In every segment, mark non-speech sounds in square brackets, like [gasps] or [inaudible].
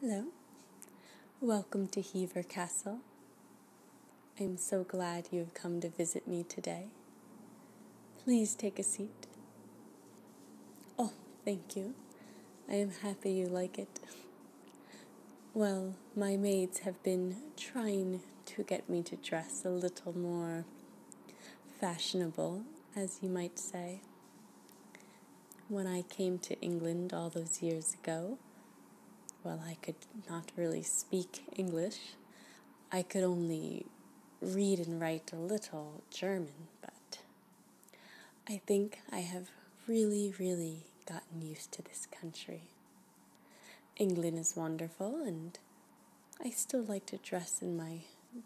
Hello, welcome to Hever Castle. I'm so glad you have come to visit me today. Please take a seat. Oh, thank you. I am happy you like it. Well, my maids have been trying to get me to dress a little more fashionable, as you might say when I came to England all those years ago, well, I could not really speak English. I could only read and write a little German, but I think I have really, really gotten used to this country. England is wonderful, and I still like to dress in my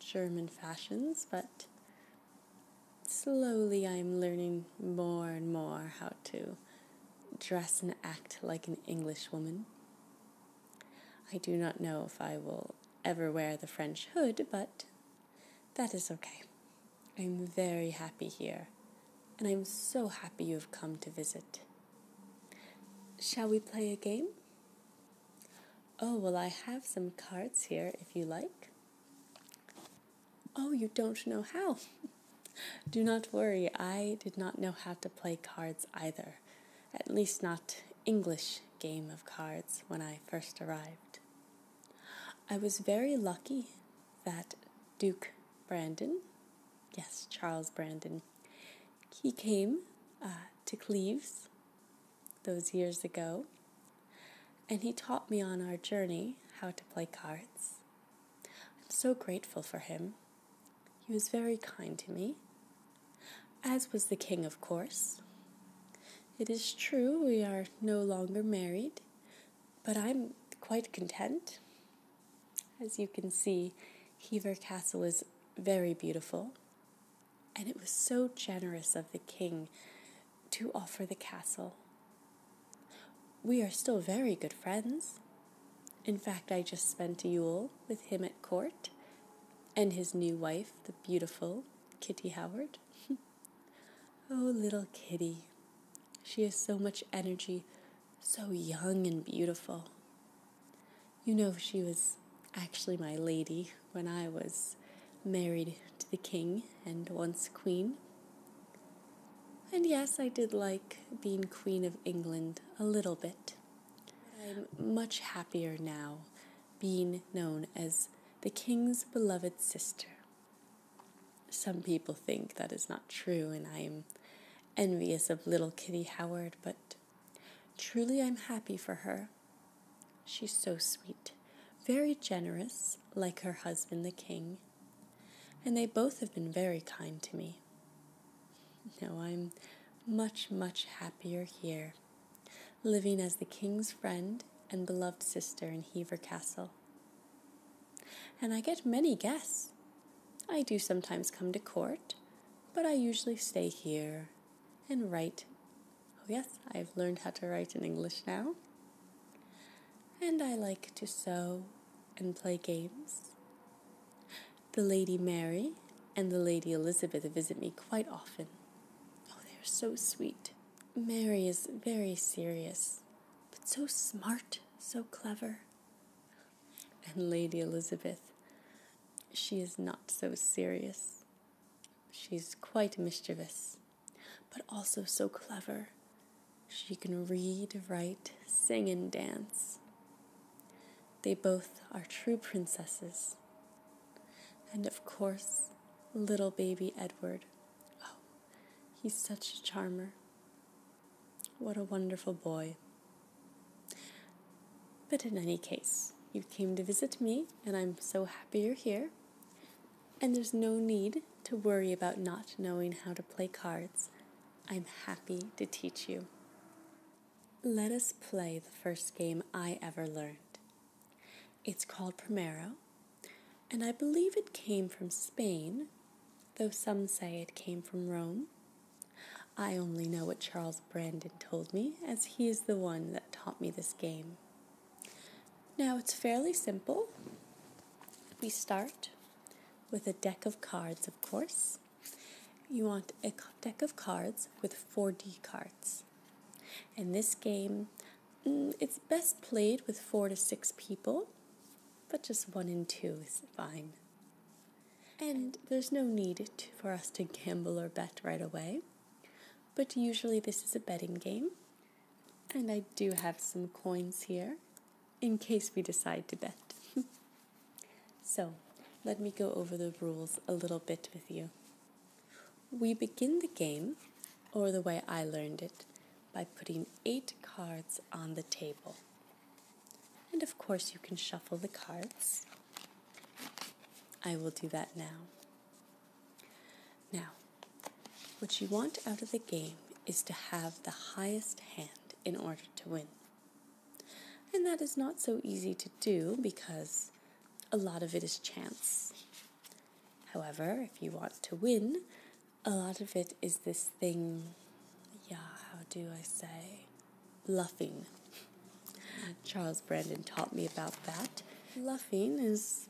German fashions, but slowly I'm learning more and more how to dress and act like an Englishwoman. I do not know if I will ever wear the French hood, but that is okay. I'm very happy here, and I'm so happy you have come to visit. Shall we play a game? Oh, well, I have some cards here if you like. Oh, you don't know how. [laughs] Do not worry, I did not know how to play cards either, at least not English game of cards when I first arrived. I was very lucky that Duke Brandon, yes, Charles Brandon, he came uh, to Cleves those years ago, and he taught me on our journey how to play cards. I'm so grateful for him. He was very kind to me, as was the king, of course. It is true we are no longer married, but I'm quite content. As you can see, Hever Castle is very beautiful, and it was so generous of the king to offer the castle. We are still very good friends. In fact, I just spent a Yule with him at court and his new wife, the beautiful Kitty Howard. [laughs] oh, little Kitty. She has so much energy, so young and beautiful. You know, she was actually my lady when I was married to the king and once queen. And yes, I did like being Queen of England a little bit. I'm much happier now being known as the king's beloved sister. Some people think that is not true, and I am envious of little Kitty Howard, but Truly, I'm happy for her. She's so sweet, very generous, like her husband, the king. And they both have been very kind to me. Now I'm much, much happier here, living as the king's friend and beloved sister in Hever Castle. And I get many guests. I do sometimes come to court, but I usually stay here and write. Oh, yes, I've learned how to write in English now. And I like to sew and play games. The Lady Mary and the Lady Elizabeth visit me quite often. Oh, they are so sweet. Mary is very serious, but so smart, so clever. And Lady Elizabeth, she is not so serious. she is quite mischievous, but also so clever. She can read, write, sing, and dance. They both are true princesses. And of course, little baby Edward. Oh, he's such a charmer. What a wonderful boy. But in any case, you came to visit me, and I'm so happy you're here. And there's no need to worry about not knowing how to play cards. I'm happy to teach you. Let us play the first game I ever learned. It's called Primero, and I believe it came from Spain, though some say it came from Rome. I only know what Charles Brandon told me, as he is the one that taught me this game. Now it's fairly simple. We start with a deck of cards, of course. You want a deck of cards with 4D cards. and this game, mm, it's best played with four to six people, but just one and two is fine. And there's no need for us to gamble or bet right away. But usually, this is a betting game. And I do have some coins here in case we decide to bet. [laughs] so, let me go over the rules a little bit with you. We begin the game, or the way I learned it, by putting eight cards on the table. And of course, you can shuffle the cards. I will do that now. Now, what you want out of the game is to have the highest hand in order to win. And that is not so easy to do because a lot of it is chance. However, if you want to win, a lot of it is this thing, yeah, how do I say? luffing. Charles Brandon taught me about that. Luffing is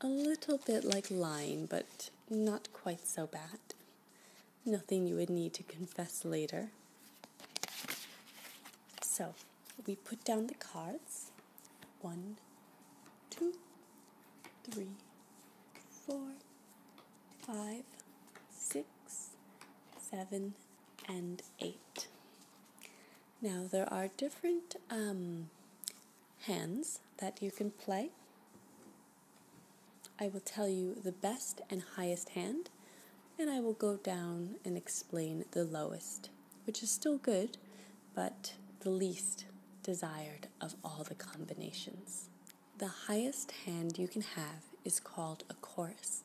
a little bit like lying, but not quite so bad. Nothing you would need to confess later. So, we put down the cards. One, two, three, four, five, six, seven, and eight. Now there are different um, hands that you can play. I will tell you the best and highest hand, and I will go down and explain the lowest, which is still good, but the least desired of all the combinations the highest hand you can have is called a chorus,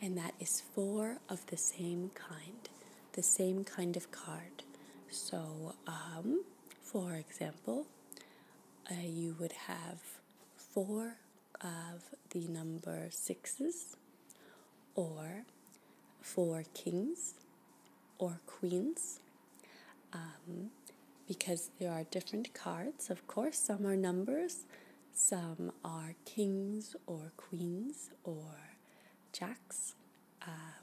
and that is four of the same kind, the same kind of card. So, um, for example, uh, you would have four of the number sixes, or four kings, or queens. Um, because there are different cards. Of course, some are numbers, some are kings or queens or jacks. Uh,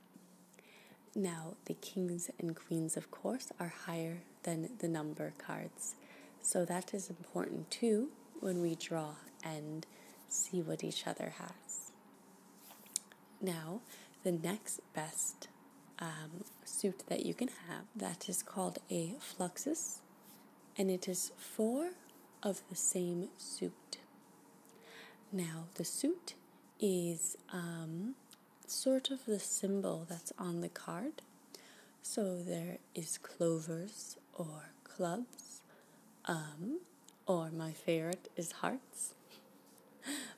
now, the kings and queens, of course, are higher than the number cards. So that is important too when we draw and see what each other has. Now, the next best um, suit that you can have. That is called a fluxus, and it is four of the same suit. Now, the suit is um, sort of the symbol that's on the card. So there is clovers or clubs, um, or my favorite is hearts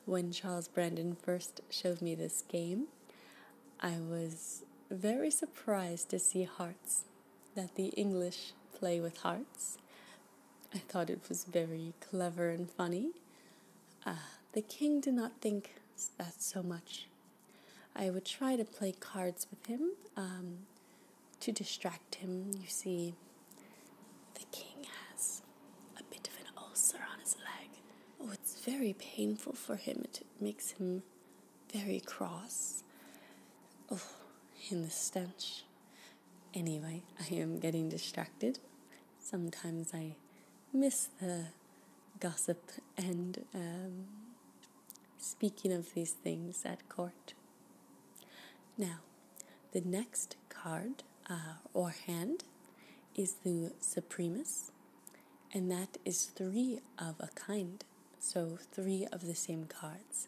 when Charles Brandon first showed me this game, I was very surprised to see hearts, that the English play with hearts. I thought it was very clever and funny. Uh, the king did not think that so much. I would try to play cards with him um, to distract him. You see, the king has a bit of an ulcer on his leg. Oh, it's very painful for him. It makes him very cross. Oh, in the stench. Anyway, I am getting distracted. Sometimes I miss the gossip and um, speaking of these things at court. Now, the next card uh, or hand is the supremus, and that is three of a kind, so three of the same cards.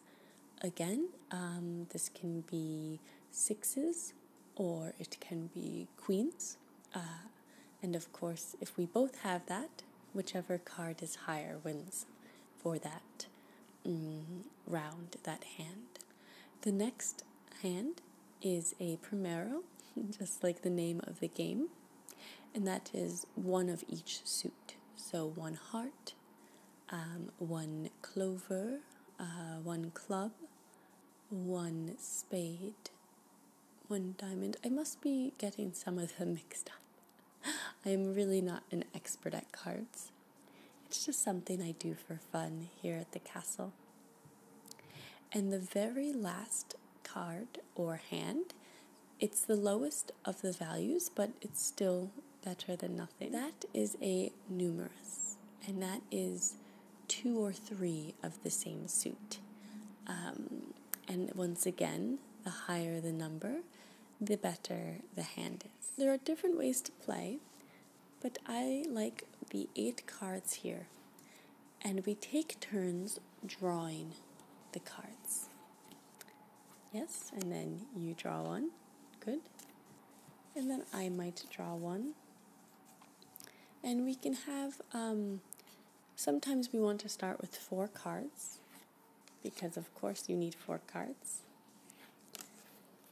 Again, um, this can be sixes or it can be queens. Uh, and of course, if we both have that, whichever card is higher wins for that mm, round, that hand. The next hand is a primero, [laughs] just like the name of the game, and that is one of each suit. So one heart, um, one clover, uh, one club, one spade, one diamond. I must be getting some of them [laughs] mixed up. I am really not an expert at cards. It's just something I do for fun here at the castle. And the very last card or hand, it's the lowest of the values, but it's still better than nothing. That is a numerous, and that is two or three of the same suit. Um, and once again, the higher the number, the better the hand is. There are different ways to play but I like the eight cards here, and we take turns drawing the cards. Yes, and then you draw one. Good. And then I might draw one. And we can have, um, sometimes we want to start with four cards because, of course, you need four cards.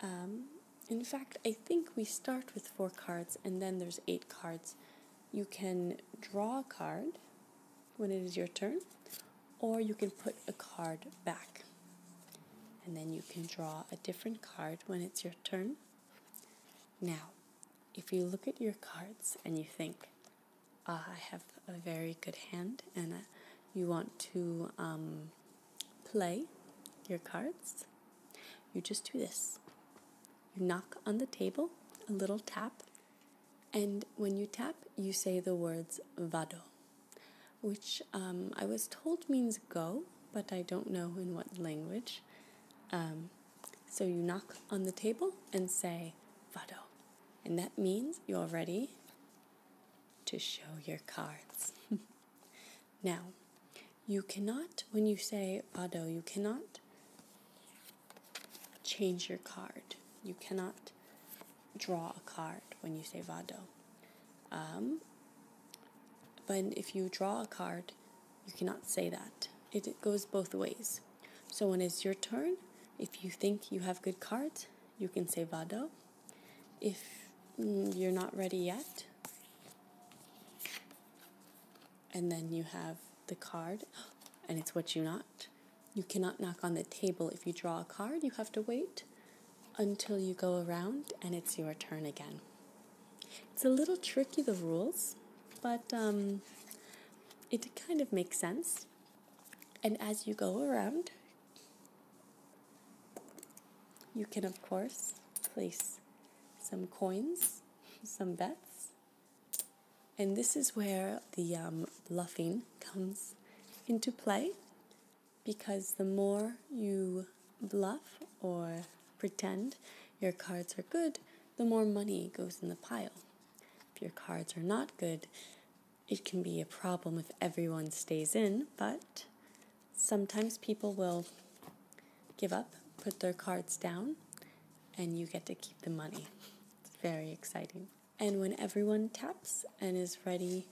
Um, in fact, I think we start with four cards and then there's eight cards. You can draw a card when it is your turn, or you can put a card back. And then you can draw a different card when it's your turn. Now, if you look at your cards and you think, ah, I have a very good hand, and uh, you want to um, play your cards, you just do this. You knock on the table, a little tap, and when you tap, you say the words vado, which um, I was told means go, but I don't know in what language. Um, so you knock on the table and say vado, and that means you're ready to show your cards. [laughs] Now, you cannot, when you say vado. you cannot change your card. You cannot draw a card when you say Vado. Um, but if you draw a card, you cannot say that. it goes both ways. So when it's your turn, if you think you have good cards, you can say Vado if mm, you're not ready yet. And then you have the card, [gasps] and it's what you not. You cannot knock on the table. If you draw a card, you have to wait until you go around and it's your turn again. It's a little tricky, the rules, but um, it kind of makes sense. And as you go around, you can, of course, place some coins, some bets, and this is where the um, bluffing comes into play because the more you bluff or pretend your cards are good, the more money goes in the pile. If your cards are not good, it can be a problem if everyone stays in, but sometimes people will give up, put their cards down, and you get to keep the money. It's very exciting. And when everyone taps and is ready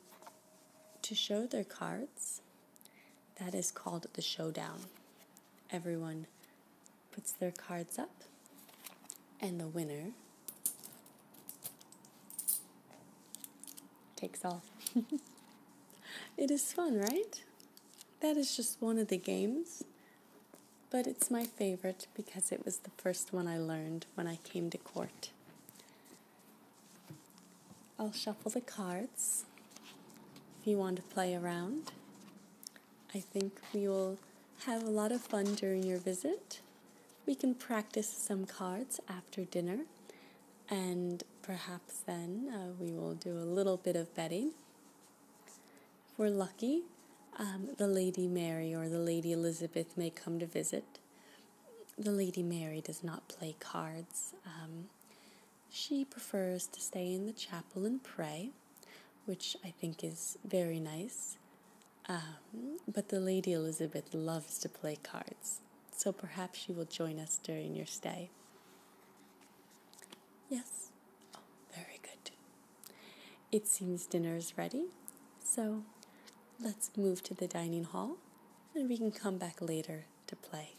to show their cards, that is called the showdown. Everyone puts their cards up, and the winner Takes all. [laughs] it is fun, right? That is just one of the games, but it's my favorite because it was the first one I learned when I came to court. I'll shuffle the cards if you want to play around. I think we will have a lot of fun during your visit we can practice some cards after dinner, and perhaps then uh, we will do a little bit of betting. If we're lucky, um, the Lady Mary or the Lady Elizabeth may come to visit. The Lady Mary does not play cards. Um, she prefers to stay in the chapel and pray, which I think is very nice. Um, but the Lady Elizabeth loves to play cards, so perhaps she will join us during your stay. Yes? Oh, very good. It seems dinner is ready, so let's move to the dining hall and we can come back later to play.